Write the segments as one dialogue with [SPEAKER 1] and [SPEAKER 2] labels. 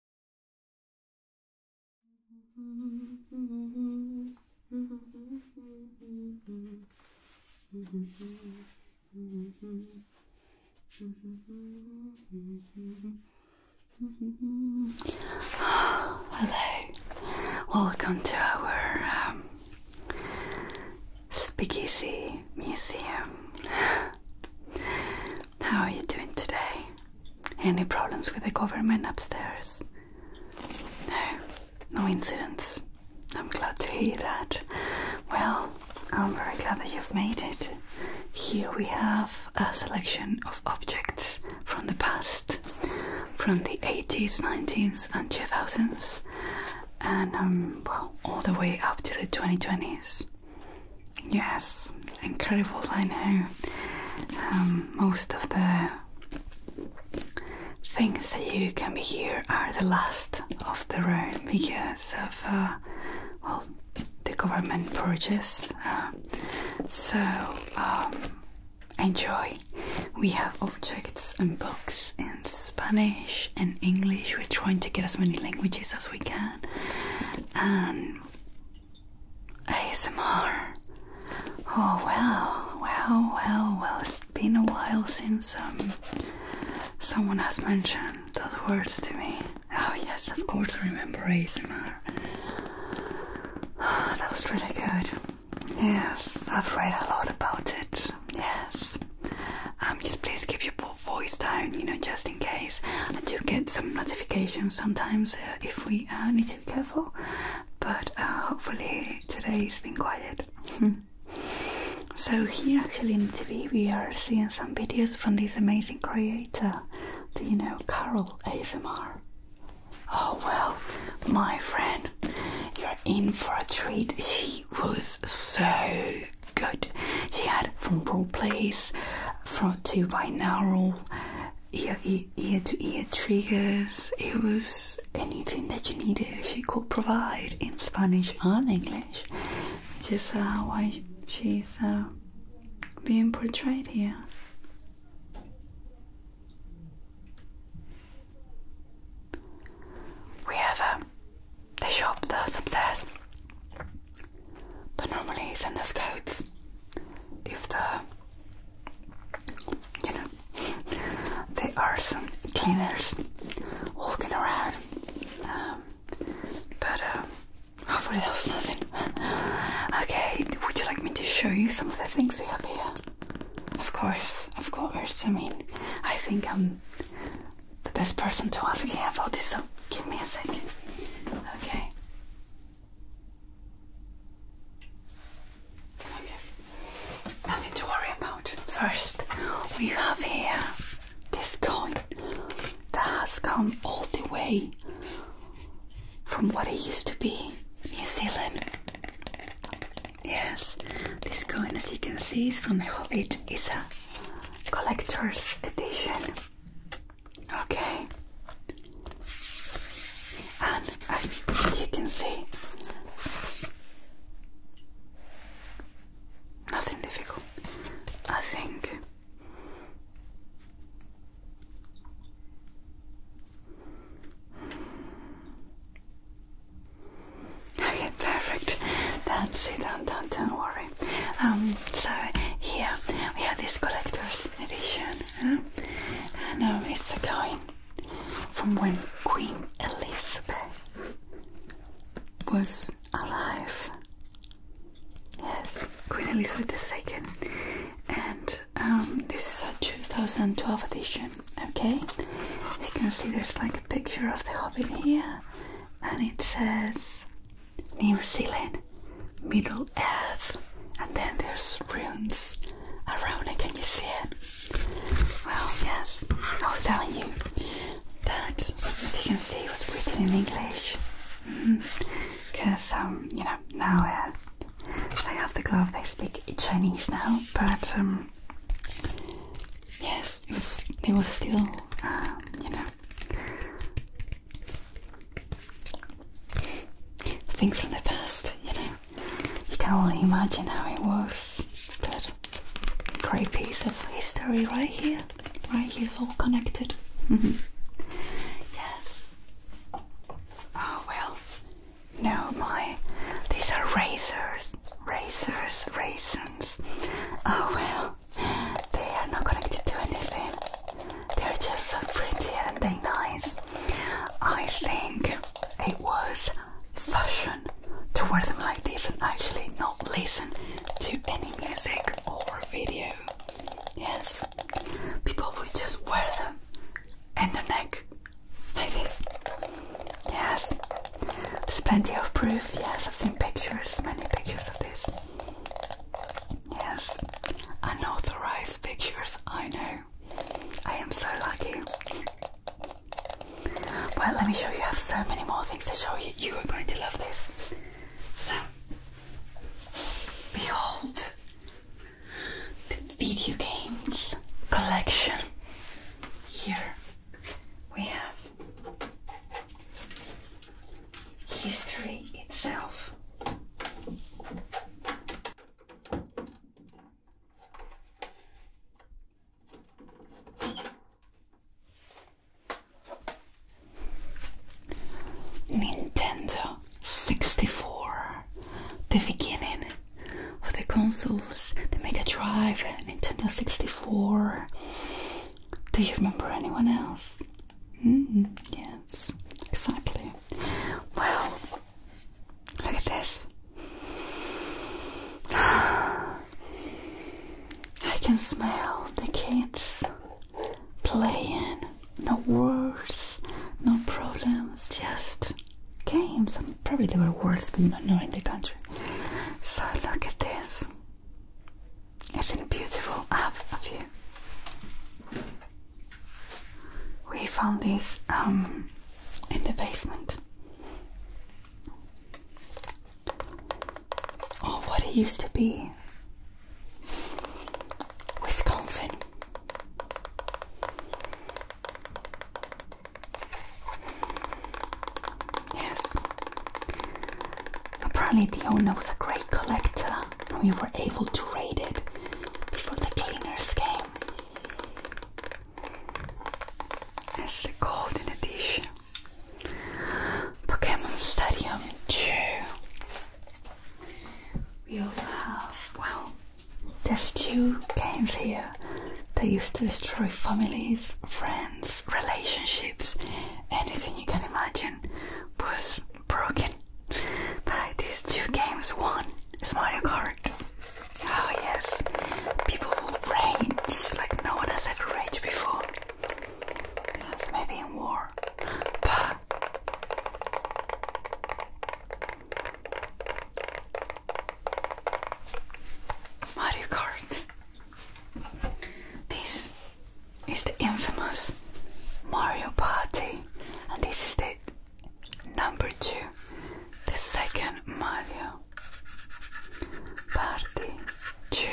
[SPEAKER 1] Hello, welcome to our um, Speakeasy Museum. How are you doing today? Any problems with the government upstairs? No, no incidents. I'm glad to hear that. Well, I'm very glad that you've made it. Here we have a selection of objects from the past, from the 80s, 90s, and 2000s, and um, well, all the way up to the 2020s. Yes, incredible, I know. Um, most of the things that you can be here are the last of the row because of, uh, well, the government purchase. Uh, so, um, enjoy. We have objects and books in Spanish and English. We're trying to get as many languages as we can. And ASMR. Oh well, well, well, well. It's been a while since um someone has mentioned those words to me. Oh yes, of course I remember ASMR. that was really good. Yes, I've read a lot about it. Yes. Um, just please keep your voice down, you know, just in case. I do get some notifications sometimes uh, uh, if we uh, need to be careful. But uh, hopefully today's been quiet. so here actually in TV we are seeing some videos from this amazing creator. Do you know Carol ASMR? Oh well, my friend, you're in for a treat. She was so good. She had from role plays, from to all ear, ear, ear to ear triggers. It was anything that you needed, she could provide in Spanish and English, which is uh, why she's uh, being portrayed here. We have a um, the shop that's upstairs. They normally send us codes if the you know there are some cleaners walking around. Um, but uh, hopefully that was nothing. okay, would you like me to show you some of the things we have here? Of course, of course. I mean, I think I'm the best person to ask you about this. So give me a second. Okay. Okay, nothing to worry about. First, we have here this coin that has come all the way from what it used to be, New Zealand. Yes, this coin, as you can see, is from The Hobbit. It's a collector's edition. Okay. And as you can see, nothing difficult. I think Okay, perfect. Don't don't, don't, don't worry. Um, so here we have these collectors edition, huh? and um, it's a coin from when Queen Elizabeth was alive. Yes, Queen Elizabeth II, and um, this is a 2012 edition. Okay, you can see there's like a picture of the Hobbit here, and it says New Zealand Middle Earth, and then there's runes around it. Can you see it? Well, yes, I was telling you that, as you can see, it was written in English. Because, mm-hmm. um, you know, now uh, they have the glove, they speak Chinese now, but um, yes, it was, they were still, um, you know, Things from the past, you know. You can only imagine how it was. But great piece of history right here. Right here's all connected. yes. Oh well. No, my these are razors. Razors, raisins. Oh well. They are not connected to anything. They're just so pretty and they're nice. I think it was fashion to wear them like this and actually not listen to any music or video. Yes, people would just wear them in their neck like this. Yes, there's plenty of proof. Yes, I've seen pictures, many pictures of this. Yes, unauthorized pictures, I know. I am so lucky. Well, let me show you. I have so many more things to show you. You are going to love this. So, behold the video games collection. Here we have history itself. Nintendo 64, the beginning of the consoles, the Mega Drive, Nintendo 64. Do you remember anyone else? Mm-hmm. yes, exactly. Well, look at this. I can smell the kids playing. No wars, no problems, just games. And probably there were wars, but you don't know in the country. So look at this. Isn't beautiful? I have a view. We found this um, in the basement. Oh, what it used to be. Wisconsin. Yes. Apparently, the owner was a great collector we were able to raid it before the cleaners came. That's the golden edition. Pokemon Stadium 2. We also have, well, there's two games here that used to destroy families, friends, relationships, anything you can imagine was broken by these two games. One is Mario Kart. Oh yes, people rage like no one has ever raged before. Yes, maybe in war, but Mario Kart. This is the infamous Mario Party, and this is the Number two, the second Mario Party two,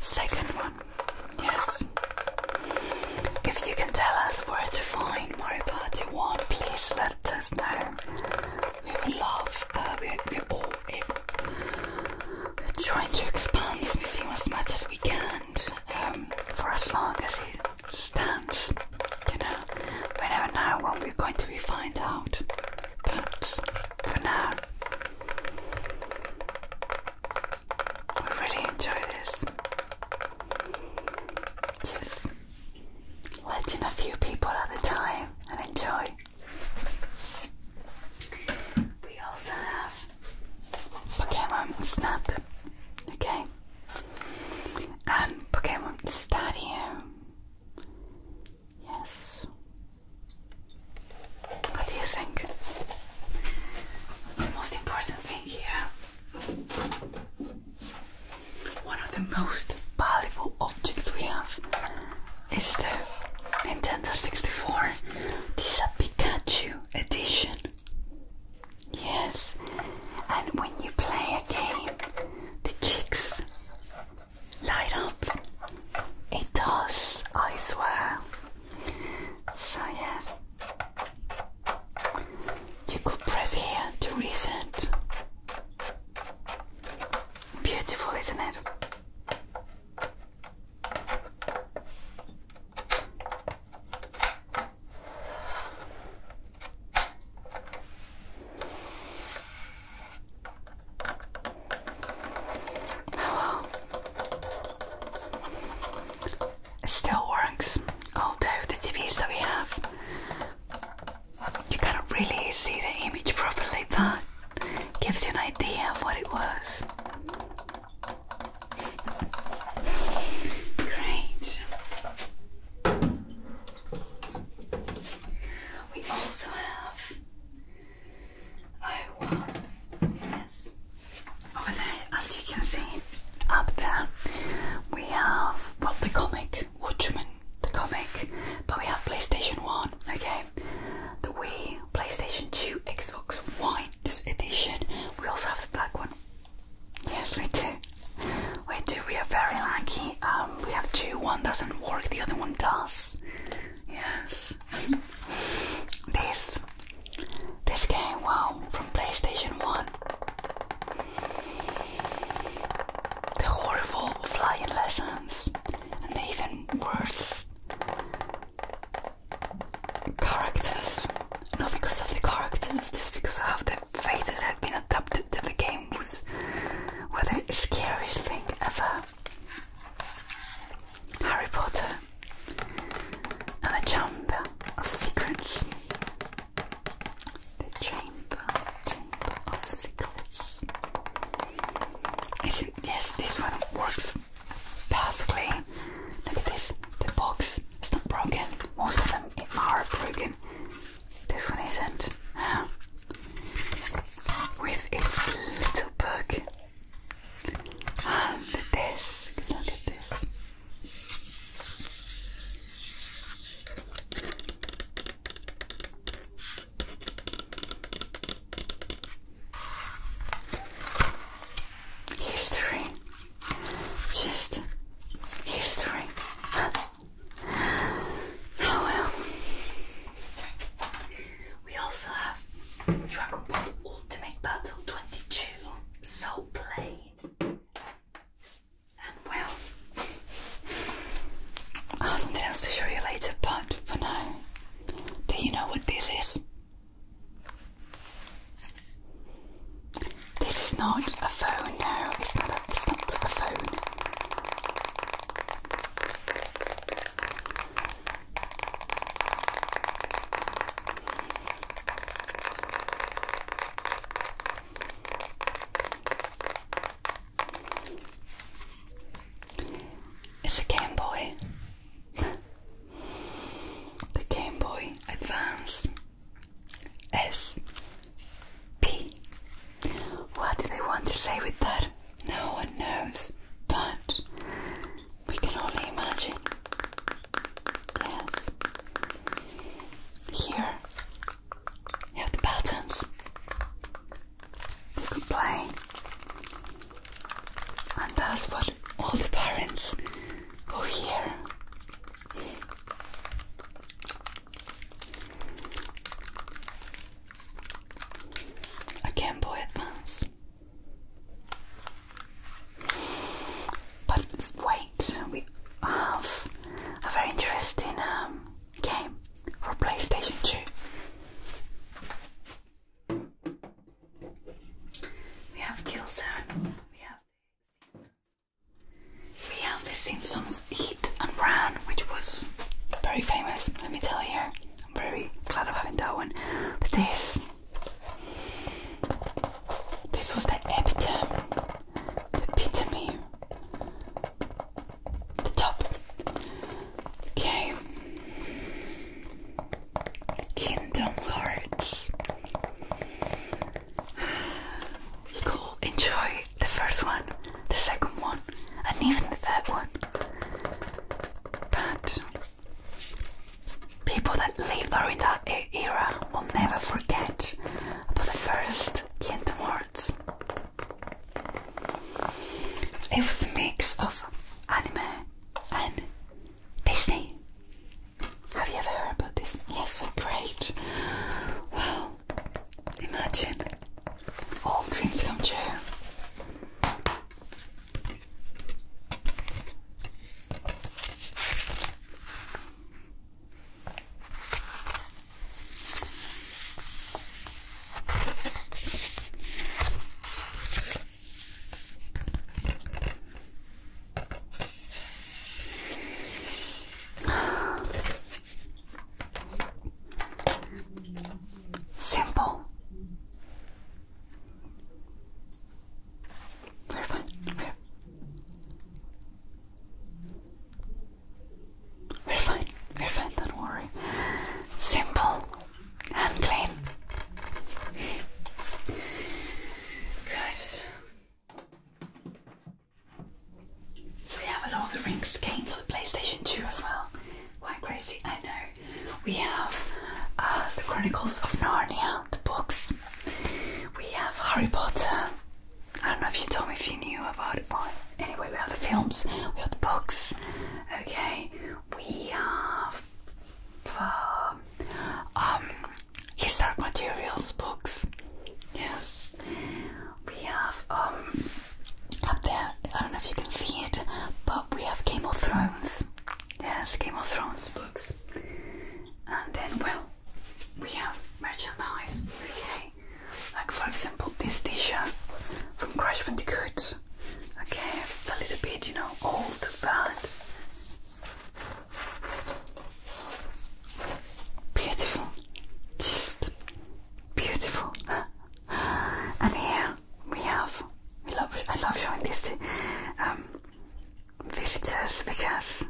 [SPEAKER 1] second one, yes. If you can tell us where to find Mario Party 1, please let us know. We would love, uh, we, we all, we're trying to expand this museum as much as we can um, for as long as it Stands, You know, we never know when we're going to be find out. But for now, we really enjoy this. Just watching a few people at a time and enjoy. We also have Pokemon Snap. Okay, um, Pokemon Stadium. Yes. What do you think? The most important thing here. One of the most valuable objects we have is the Nintendo 64. This is a Pikachu edition. Yes, and when you play a game, the cheeks light up. It does, I swear. So, yeah, you could press here to reset. Beautiful, isn't it? Oh It still works, although the TVs that we have, you can't really see the image properly, but it gives you an idea of what it was. Great. We also have oh wow over there as you can see up there we have well the comic Watchmen the comic but we have PlayStation 1 okay the Wii PlayStation 2 Xbox White edition we also have the black one Yes, we do. We do. We are very lucky. Um, we have two. One doesn't work. The other one does. Yes. this. This game. Wow. From PlayStation One. The horrible flying lessons, and the even worse characters. Not because of the characters, just because of the faces had been adapted to the games was, were the scariest thing ever. Harry Potter and the Chamber of Secrets. The Chamber, Chamber of Secrets. Isn't, yes, this one works perfectly. Look at this. The box is not broken. Most of them are broken. This one isn't. With its little book and the Look at this. History. Just history. Oh, well. We also have Dragon Ball Ultimate Battle 22 Soul Blade. And well, I have something else to show you later, but for now, do you know what this is? This is not a phone, no, it's not a, it's not a phone. It's a Game Boy. the Game Boy Advance. S P. What do they want to say with that? No one knows, but we can only imagine. Yes. Here you have the patterns. You can play. And that's what all the parents who hear a Game Boy Advance. But wait, we have a very interesting um, game for PlayStation 2. We have Killzone, we have we have the Simpsons Eat and Run, which was very famous, let me tell you. I'm very glad of having that one. But this this was the epitome, the epitome, the top. Okay. Kingdom Hearts. You go enjoy the first one, the second one, and even the third one. But people that live during that era will never forget about the first Kingdom Hearts. It was a mix of anime and Disney. Have you ever heard about Disney? Yes, great. Well, Imagine all dreams come true. Simple. Very fun. Very, very fine. Very fine. Don't worry. Simple and clean. Good. We have a lot of the Rings game for the PlayStation 2 as well. Quite crazy, I know. We have uh, the Chronicles of Narnia, the books. We have Harry Potter. I don't know if you told me if you knew about it, but anyway, we have the films, we have the books. Okay, we have um, um historic materials books. Yes, we have um up there. I don't know if you can see it, but we have Game of Thrones. Yes, Game of Thrones books. And then, well, we have merchandise. Okay, like for example, this T-shirt from Crash Bandicoot. Okay, it's a little bit, you know, old, but Beautiful, just beautiful. and here we have. We love. I love showing this to um, visitors because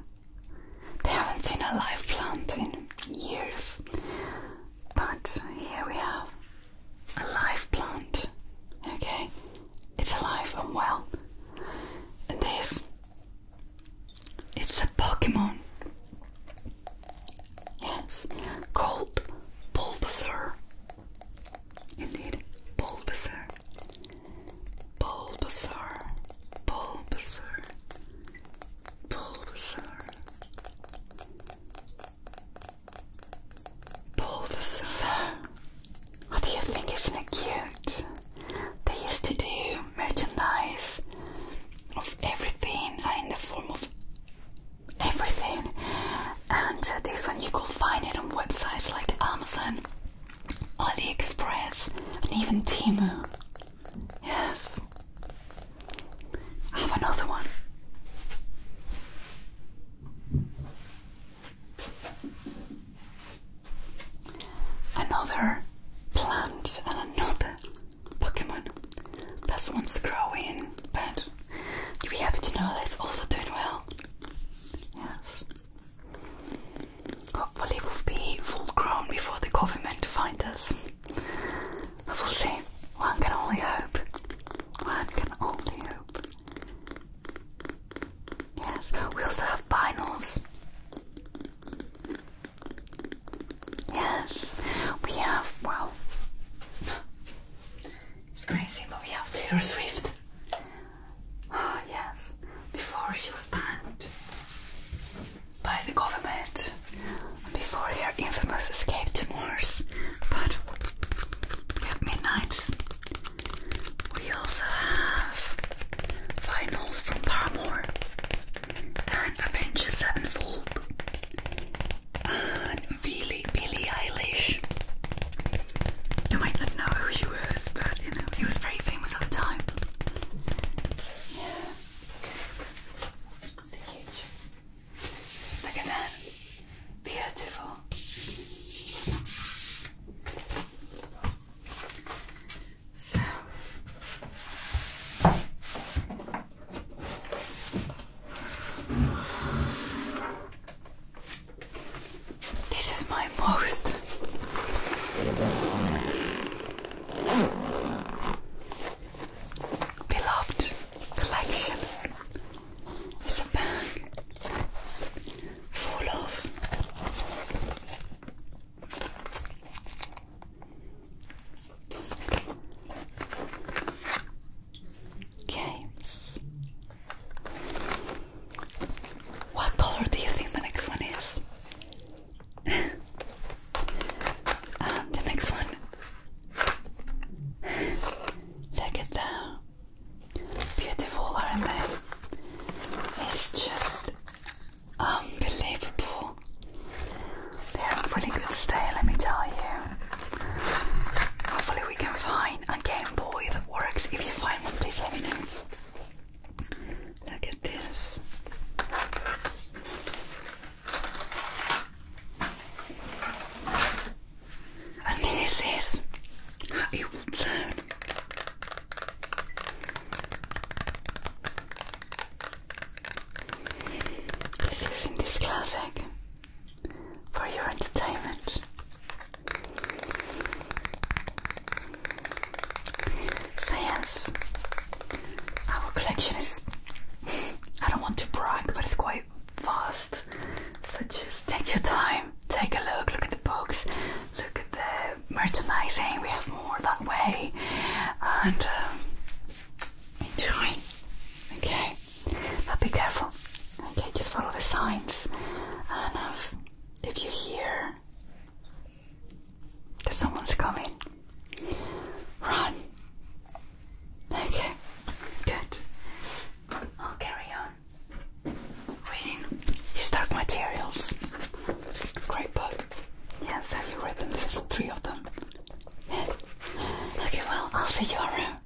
[SPEAKER 1] they haven't seen a live plant in years. But here we have a live plant. Okay, it's alive and well. And this, it's a Pokemon. Yes, called Bulbasaur. Indeed, Bulbasaur. Bulbasaur. Bulbasaur. Bulbasaur. what do you think? Isn't it cute? They used to do merchandise of everything in the form of everything and uh, this one you can find it on websites like Amazon, AliExpress and even Timu. Yes. I have another one. Another plant and another Pokemon. That's one's growing, but you'll be happy to know that it's also doing well. Yes. Hopefully, we'll be full grown before the government find us. We'll see. One can only hope. One can only hope. Yes, we also have vinyls. Yes, we have. Well, it's crazy, but we have Taylor Swift. Ah, yes, before she was banned by the government, before her infamous escape to Mars. But at midnight, we also have finals from Paramore and Avengers Sevenfold, and Billie, Billie Eilish. You might not know who she was, but you know, she was very famous at the time. Yeah. So huge. Look at that. Beautiful this is my most beloved collection. It's a bag full of Games. What color do you think the next one is? Um, the next one. Look at them. Beautiful, aren't they? It's just Unbelievable. They're a really good stay, let me tell you. Hopefully we can find a Game Boy that works. If you find one, please let me know. Look at this. And this is how it will this is in this classic for your entertainment. So our collection is, I don't want to brag, but it's quite vast. So just take your time, take a look, look at the books, look at the merchandising, we have more that way. And um, Enjoy. Okay. But be careful. Okay, just follow the signs. And if, you hear that someone's coming, run. Okay, good. I'll carry on reading his Dark Materials. Great book. Yes, have you read them? three of them. Okay, well, I'll see you around.